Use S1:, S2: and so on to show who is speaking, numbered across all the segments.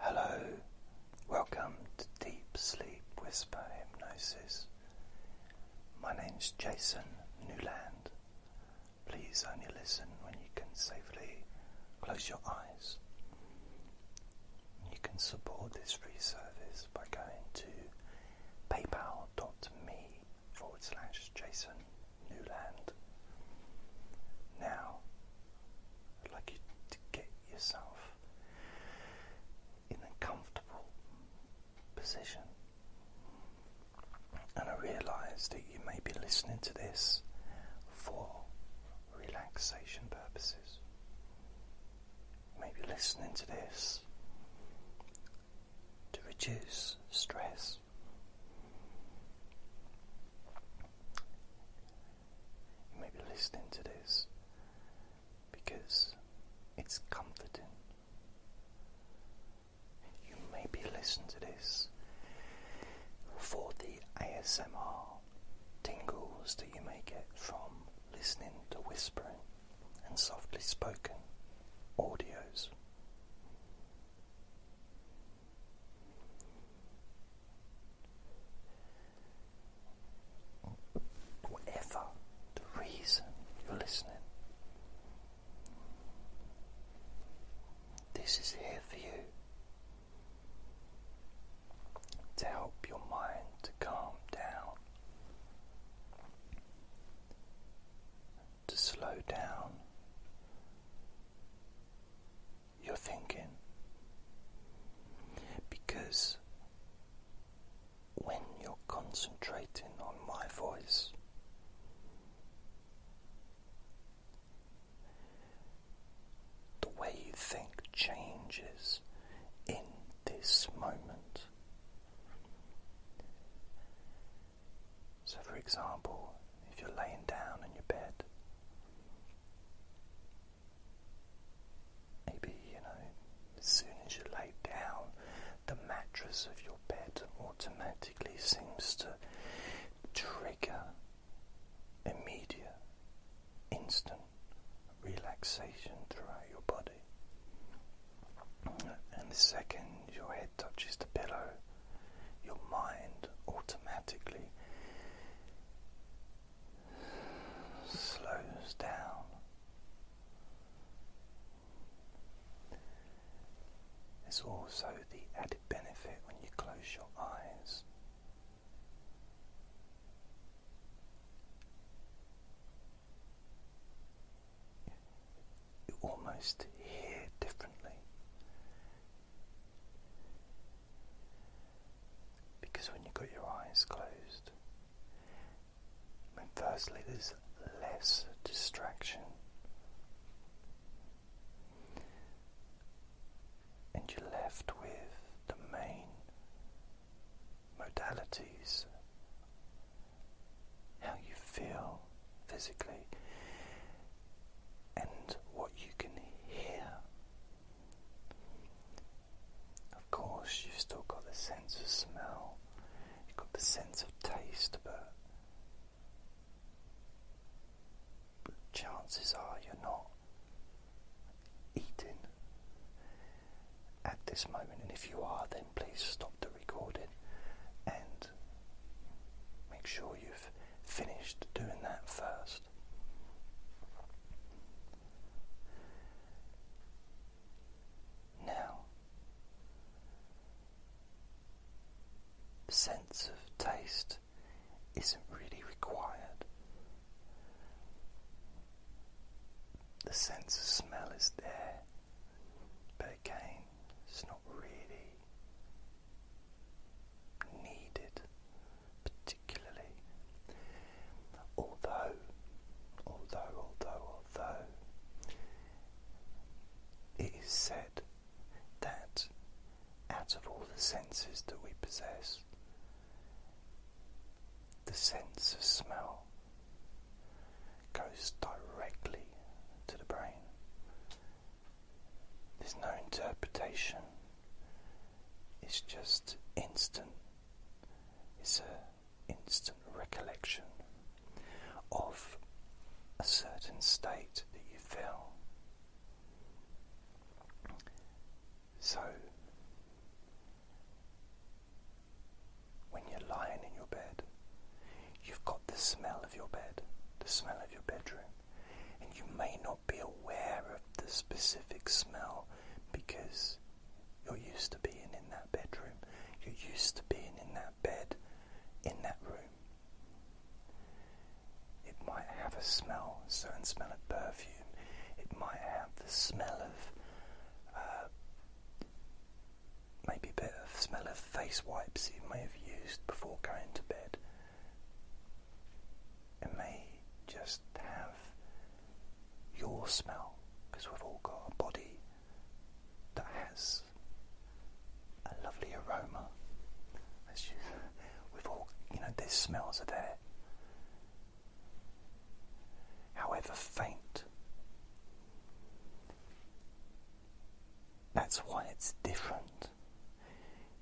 S1: Hello, welcome to Deep Sleep Whisper Hypnosis. My name's Jason Newland. Please only listen when you can safely close your eyes. You can support this free service by going to paypal.me jasonnewland Now, like you to get yourself in a comfortable position. And I realize that you may be listening to this for relaxation purposes. Maybe listening to this to reduce stress. You may be listening to this because it's comforting. You may be listening to this for the ASMR tingles that you may get from listening to whispering and softly spoken audios. Whatever the reason you're listening, this is here for you to help your mind to calm down, to slow down you're thinking. Because when you're concentrating on my voice, the way you think changes in this moment. So, for example, if you're laying down in your bed, maybe, you know, as soon as you lay down, the mattress of your bed automatically seems to trigger immediate, instant relaxation throughout your body. And the second your head touches the pillow, your mind automatically slows down. There's also the added benefit when you close your eyes. You almost hear differently. Because when you've got your eyes closed, firstly, there's less distraction, and you're left with the main modalities how you feel physically and what you can hear. Of course, you've still got the sense of smell, you've got the sense of taste, but chances are you're not eating at this moment. And if you are, then please stop the recording and Make sure you've finished doing that first. Now, the sense of taste isn't really required. The sense of smell is there, but again, it's not really needed, particularly. Although, although, although, although, it is said that out of all the senses that we possess, the sense of smell goes directly to the brain. There's no interpretation, it's just instant. It's an instant recollection of a certain state that you feel. So, when you're lying in your bed, You've got the smell of your bed, the smell of your bedroom, and you may not be aware of the specific smell because you're used to being in that bedroom, you're used to being in that bed, in that room. It might have a smell, a certain smell of perfume, it might have the smell of. Uh, maybe a bit of smell of face wipes you may have used before going to bed. It may just have your smell, because we've all got a body that has a lovely aroma. It's we've all, you know, these smells are there. However faint, that's why it's different.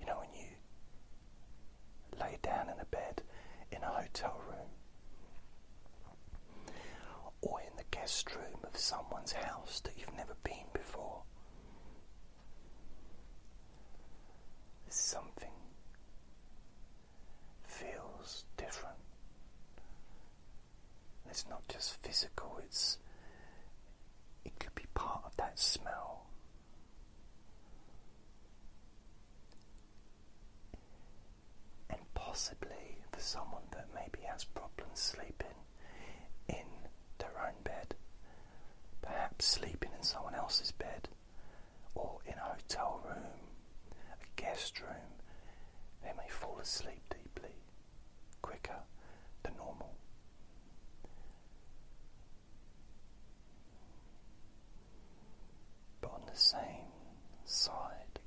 S1: You know, when you lay down in a bed in a hotel room or in the guest room of someone's house that you've never been before, something feels different. It's not just physical, it's it could be part of that smell. And possibly for someone that maybe has problems sleeping in their own bed, perhaps sleeping in someone else's bed, or in a hotel room, a guest room, they may fall asleep deeply quicker than normal. But on the same side,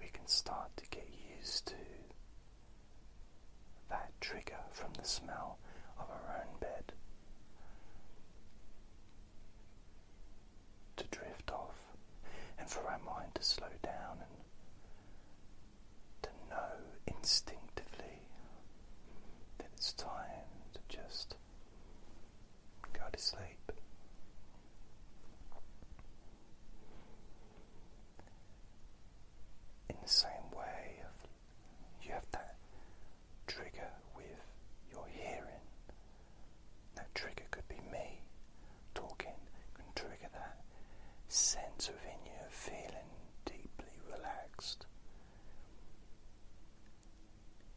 S1: we can start to get used to that trigger from the smell of our own bed to drift off and for our mind to slow down and to know instinctively that it's time to just go to sleep. In the same way, you have that trigger with your hearing that trigger could be me talking, can trigger that sense within you of feeling deeply relaxed.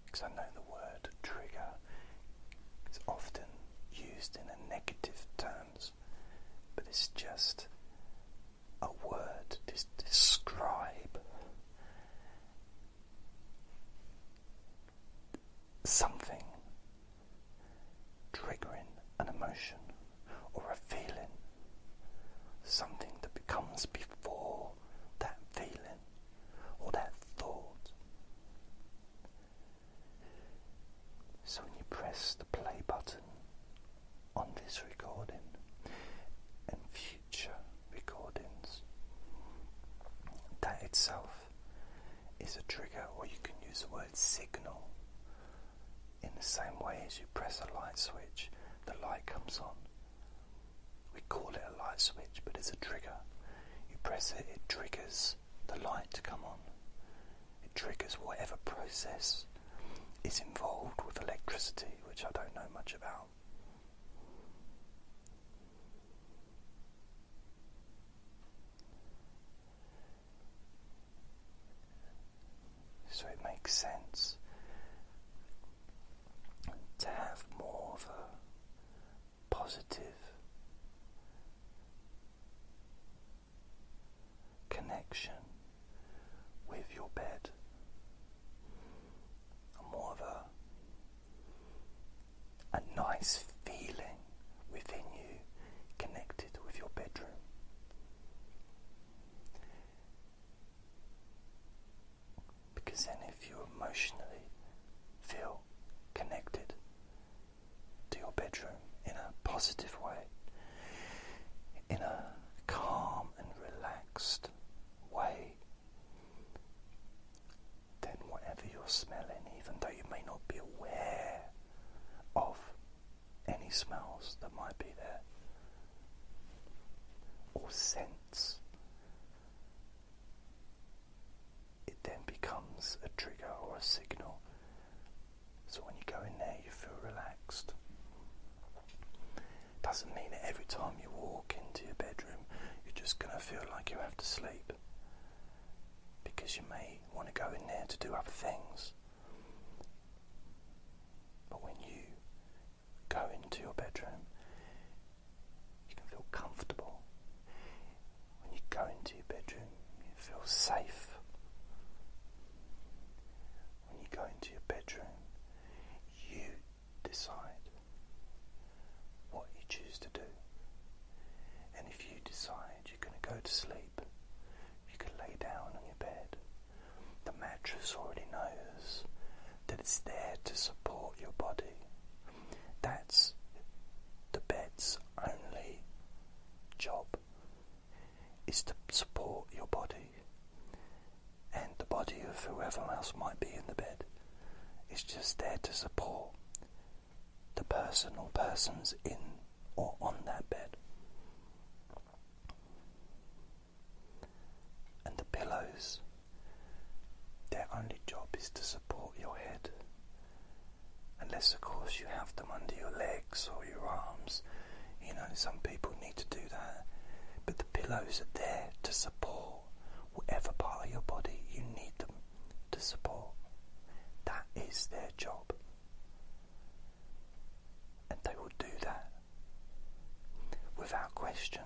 S1: Because I know the word trigger is often used in a negative terms, but it's just a word to describe something triggering an emotion or a feeling, something that becomes before that feeling or that thought. So when you press the play button on this recording and future recordings, that itself is a trigger, or you can use the word signal. In the same way as you press a light switch, the light comes on. We call it a light switch, but it's a trigger. You press it, it triggers the light to come on. It triggers whatever process is involved with electricity, which I don't know much about. So it makes sense to have more of a positive connection with your bed, more of a a nice feeling within you connected with your bedroom. Because then, if you emotionally feel connected to your bedroom in a positive way, in a calm and relaxed way, then whatever you're smelling, even though you may not be aware of any smells that might be there, or scents, it then becomes a trigger or a signal. So when you go in there, you feel relaxed. Doesn't mean that every time you walk into your bedroom, you're just going to feel like you have to sleep because you may want to go in there to do other things. But when you go into your bedroom, you can feel comfortable. When you go into your bedroom, you feel safe. When you go into your bedroom, you decide what you choose to do. And if you decide you're going to go to sleep, you can lay down on your bed. The mattress already knows that it's there to support your body. That's the bed's only job is to support your body and the body of whoever else might be in the bed. It's just there to support the person or persons in or on that bed. And the pillows, their only job is to support your head. Unless, of course, you have them under your legs or your arms. You know, some people need to do that. But the pillows are there to support Whatever part of your body you need them to support. That is their job. And they will do that. Without question,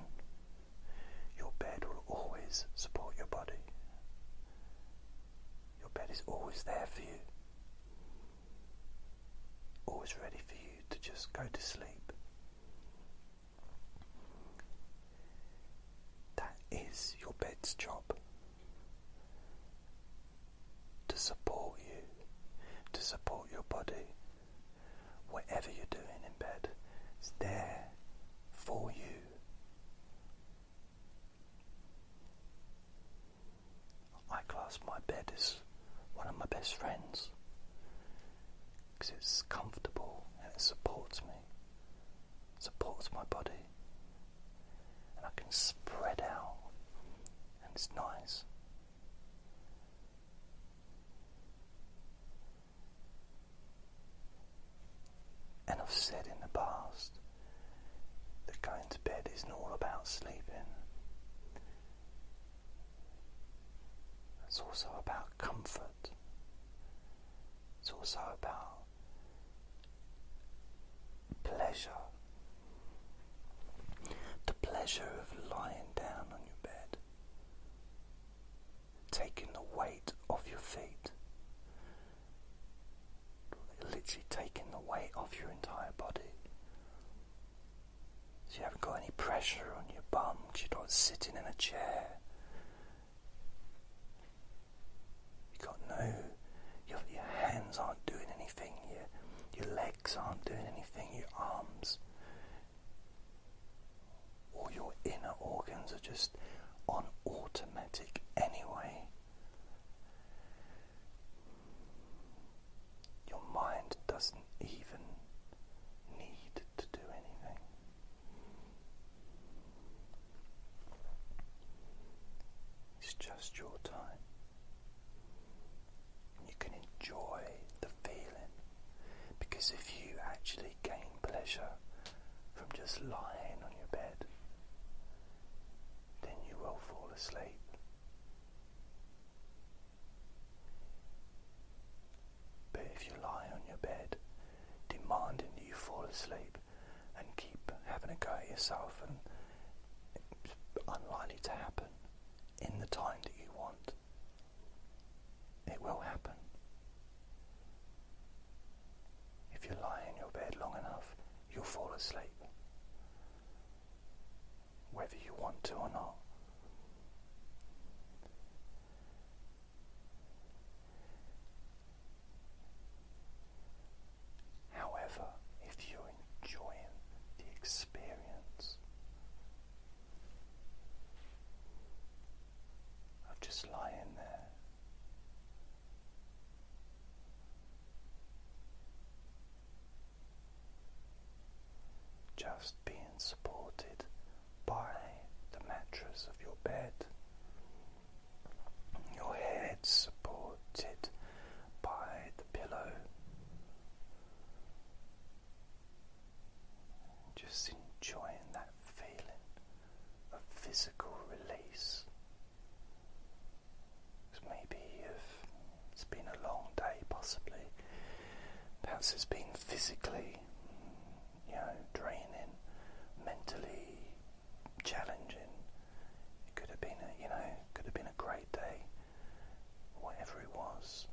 S1: your bed will always support your body. Your bed is always there for you, always ready for you to just go to sleep. That is your bed's job to support you, to support your body. Whatever you're doing in bed it's there for you. I class my bed as one of my best friends because it's comfortable and it supports me, supports my body, and I can spread out, and it's nice. And I've said in the past that going to bed isn't all about sleeping. It's also about comfort. It's also about pleasure. The pleasure of lying down on your bed, taking the weight off your feet, literally taking the weight off your entire body. So you haven't got any pressure on your bum because you're not sitting in a chair. You've got no, your, hands aren't doing anything, your, your legs aren't doing anything, your arms. All your inner organs are just on automatic anyway. Your mind doesn't even need to do anything. It's just your time. You can enjoy the feeling because if you actually gain pleasure from just lying on your bed, then you will fall asleep. But if you lie on your bed, demanding that you fall asleep and keep having a go at yourself, and it's unlikely to happen in the time that you want, it will happen. If you lie in your bed long enough, you'll fall asleep whether you want to or not. However, if you're enjoying the experience of just lying there, just being supported by the mattress of your bed, your head supported by the pillow. Just enjoying that feeling of physical release. maybe it's been a long day, possibly Perhaps it's been physically, you know, draining, mentally challenging. It could have been, a, you know, could have been a great day. Whatever it was,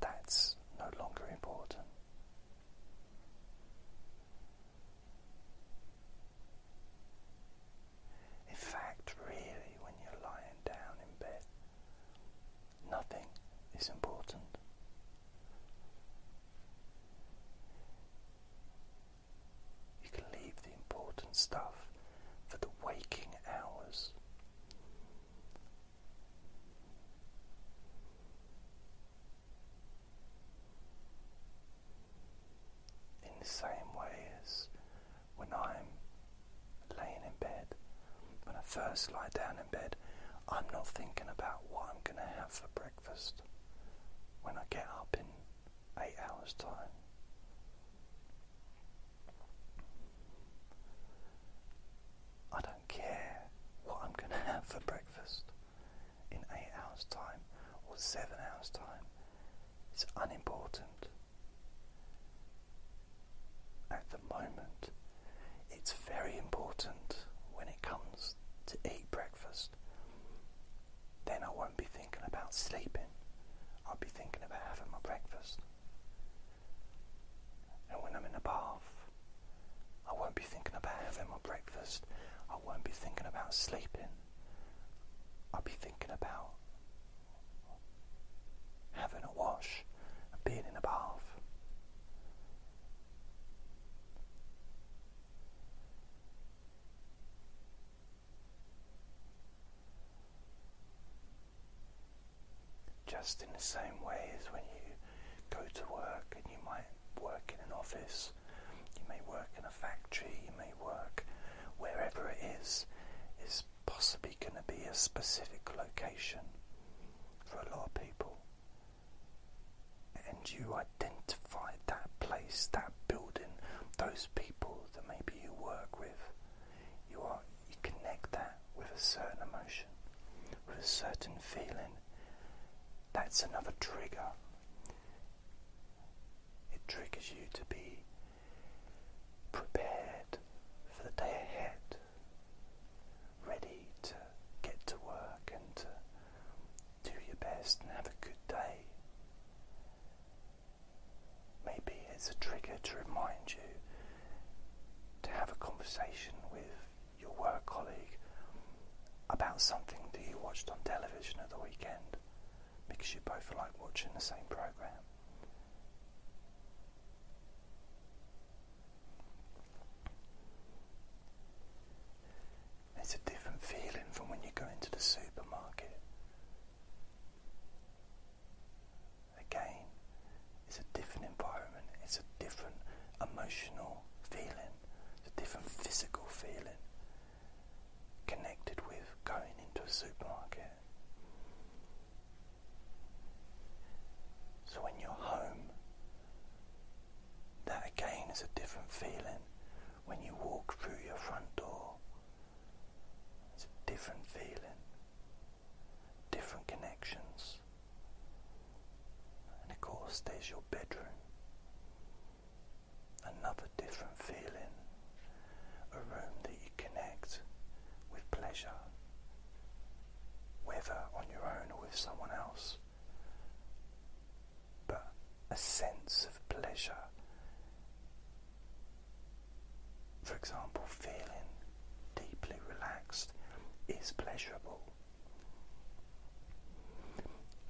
S1: that's no longer important. In fact, really, when you're lying down in bed, Nothing is important. You can leave the important stuff for the waking hours. In the same way as when I'm laying in bed. When I first lie down in bed, I'm not thinking about what I'm going to have for breakfast when I get up in eight hours' time. I don't care what I'm going to have for breakfast in eight hours' time or seven hours' time. It's unimportant at the moment. It's very important when it comes to eat breakfast. Then I won't be thinking about sleeping, I'll be thinking about having my breakfast. And when I'm in a bath, I won't be thinking about having my breakfast, I won't be thinking about sleeping, I'll be thinking about having a wash and being in a bath. Just in the same way as when you go to work and you might work in an office, you may work in a factory, you may work wherever it is, is possibly going to be a specific location for a lot of people. And you identify that place, that building, those people that maybe you work with. You are you connect that with a certain emotion, with a certain feeling. That's another trigger. It triggers you to be prepared for the day ahead, ready to get to work and to do your best and have a good day. Maybe it's a trigger to remind you to have a conversation with your work colleague about something that you watched on television at the weekend because you both like watching the same program. It's a different feeling from when you go into the supermarket. Again, it's a different environment, it's a different emotional feeling, it's a different physical feeling connected with going into a supermarket. So when you're home, that again is a different feeling. When you walk through your front door, it's a different feeling, different connections. And of course, there's your bedroom another different feeling, a room that you connect with pleasure, whether on your own or with someone else, but a sense of pleasure. For example, feeling deeply relaxed is pleasurable.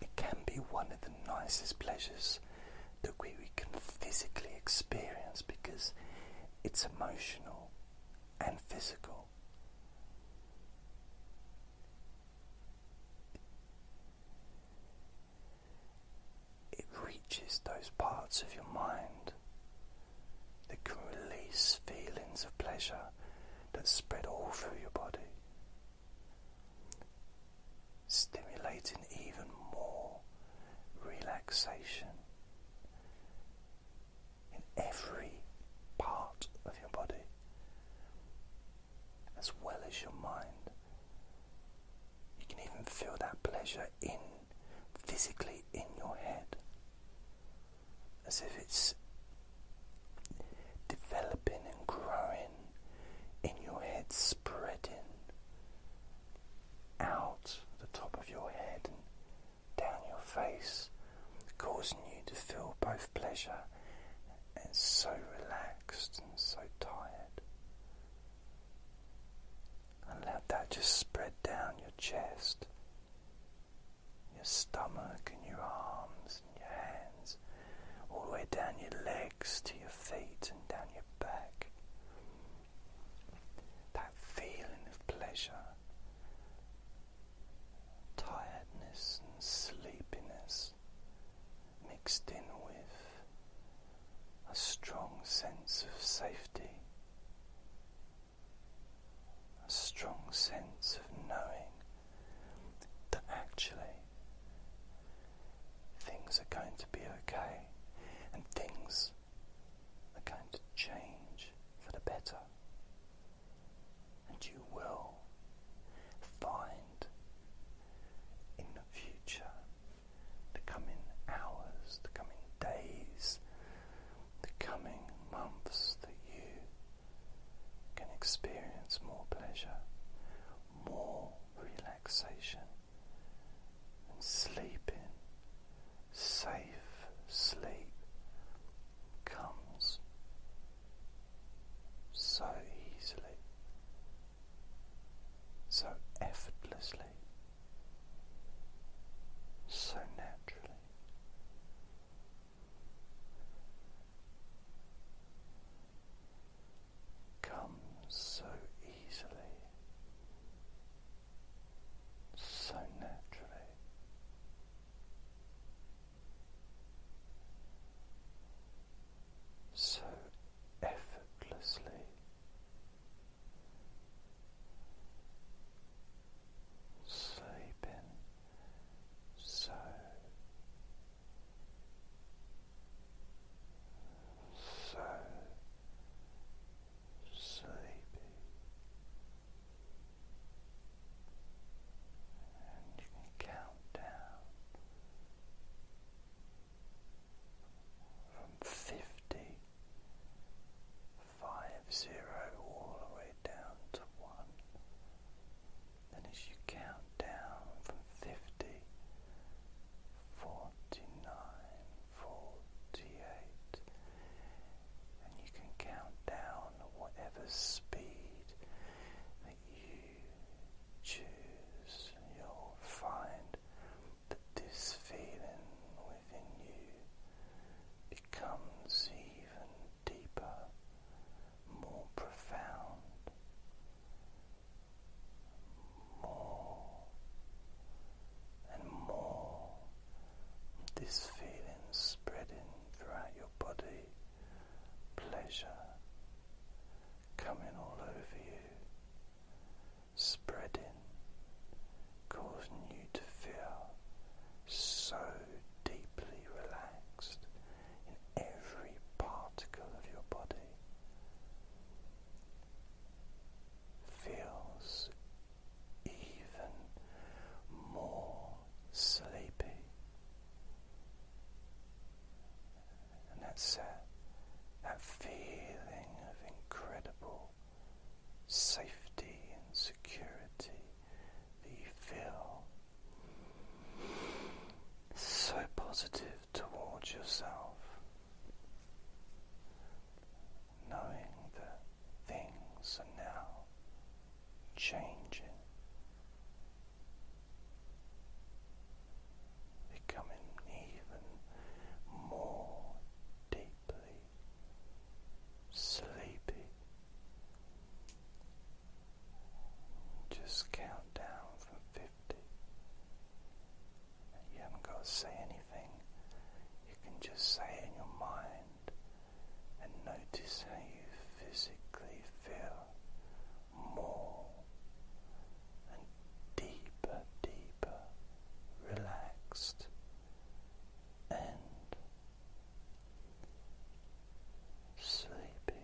S1: It can be one of the nicest pleasures that we, we can physically experience because it's emotional and physical. It reaches those parts of your mind that can release feelings of pleasure that spread all through your body stimulating even more relaxation in every part of your body as well as your mind. You can even feel that pleasure in physically in your head as if it's developing and growing in your head spreading out the top of your head and down your face, causing you to feel both pleasure and so relaxed and so tired. And let that just spread down your chest, your stomach, and your arms and your hands all the way down your legs to your feet and down your back. That feeling of pleasure, tiredness, and sleepiness mixed in with a strong sense of safety, a strong sense of knowing that actually things are going to be okay and things are going to change for the better. And you will find in the future, the coming hours, the coming days, the coming months that you can experience more pleasure, more relaxation and sleeping. Safe sleep comes so easily, so effortlessly, so naturally comes so easily, so naturally. So effortlessly, sleeping so so sleepy, and you can count down from fifty five zero all the way down to one. And as you count down from 50, and you can count down whatever speed that you choose, you'll find that this feeling within you becomes even deeper, more profound more and more. This feeling spreading throughout your body, pleasure coming all over you, spreading, causing you to feel so deeply relaxed in every particle of your body feels even more sleepy. And that's that, that feeling of incredible safety and security that you feel so positive towards yourself, knowing that things are now changing, becoming even more deeply sleepy just count down from 50. You haven't got to say anything. You can just say in your mind and notice how you physically feel more and deeper, deeper, relaxed and sleepy.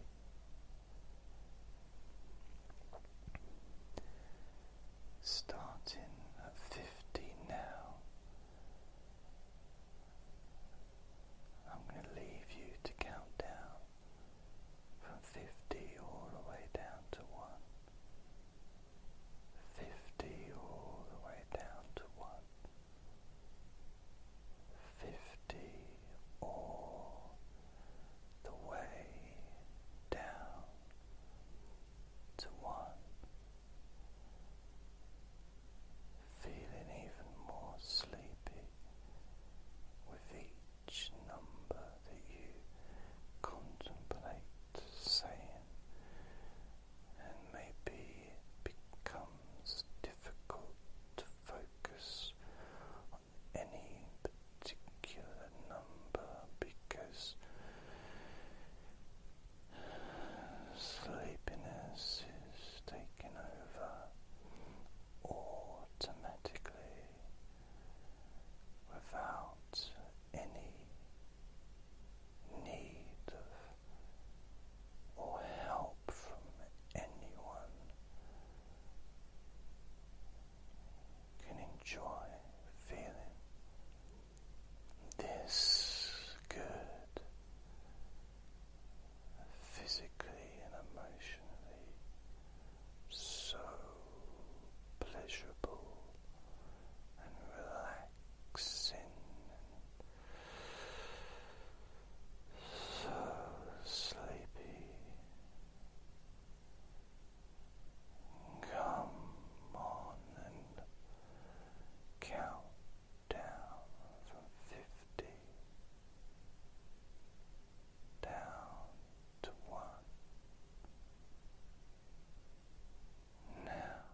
S1: Starting at fifty now, I'm going to leave you to count down from fifty all the way down to one. Fifty all the way down to one fifty all the way down to one, feeling even more sleepy with each number that you contemplate saying, and maybe becomes difficult focus on any particular number because sleepiness is taking over automatically without any need of or help from anyone can enjoy feeling this good physically and emotionally so pleasurable and relaxing so sleepy. Come on and count down from fifty down to one. Now.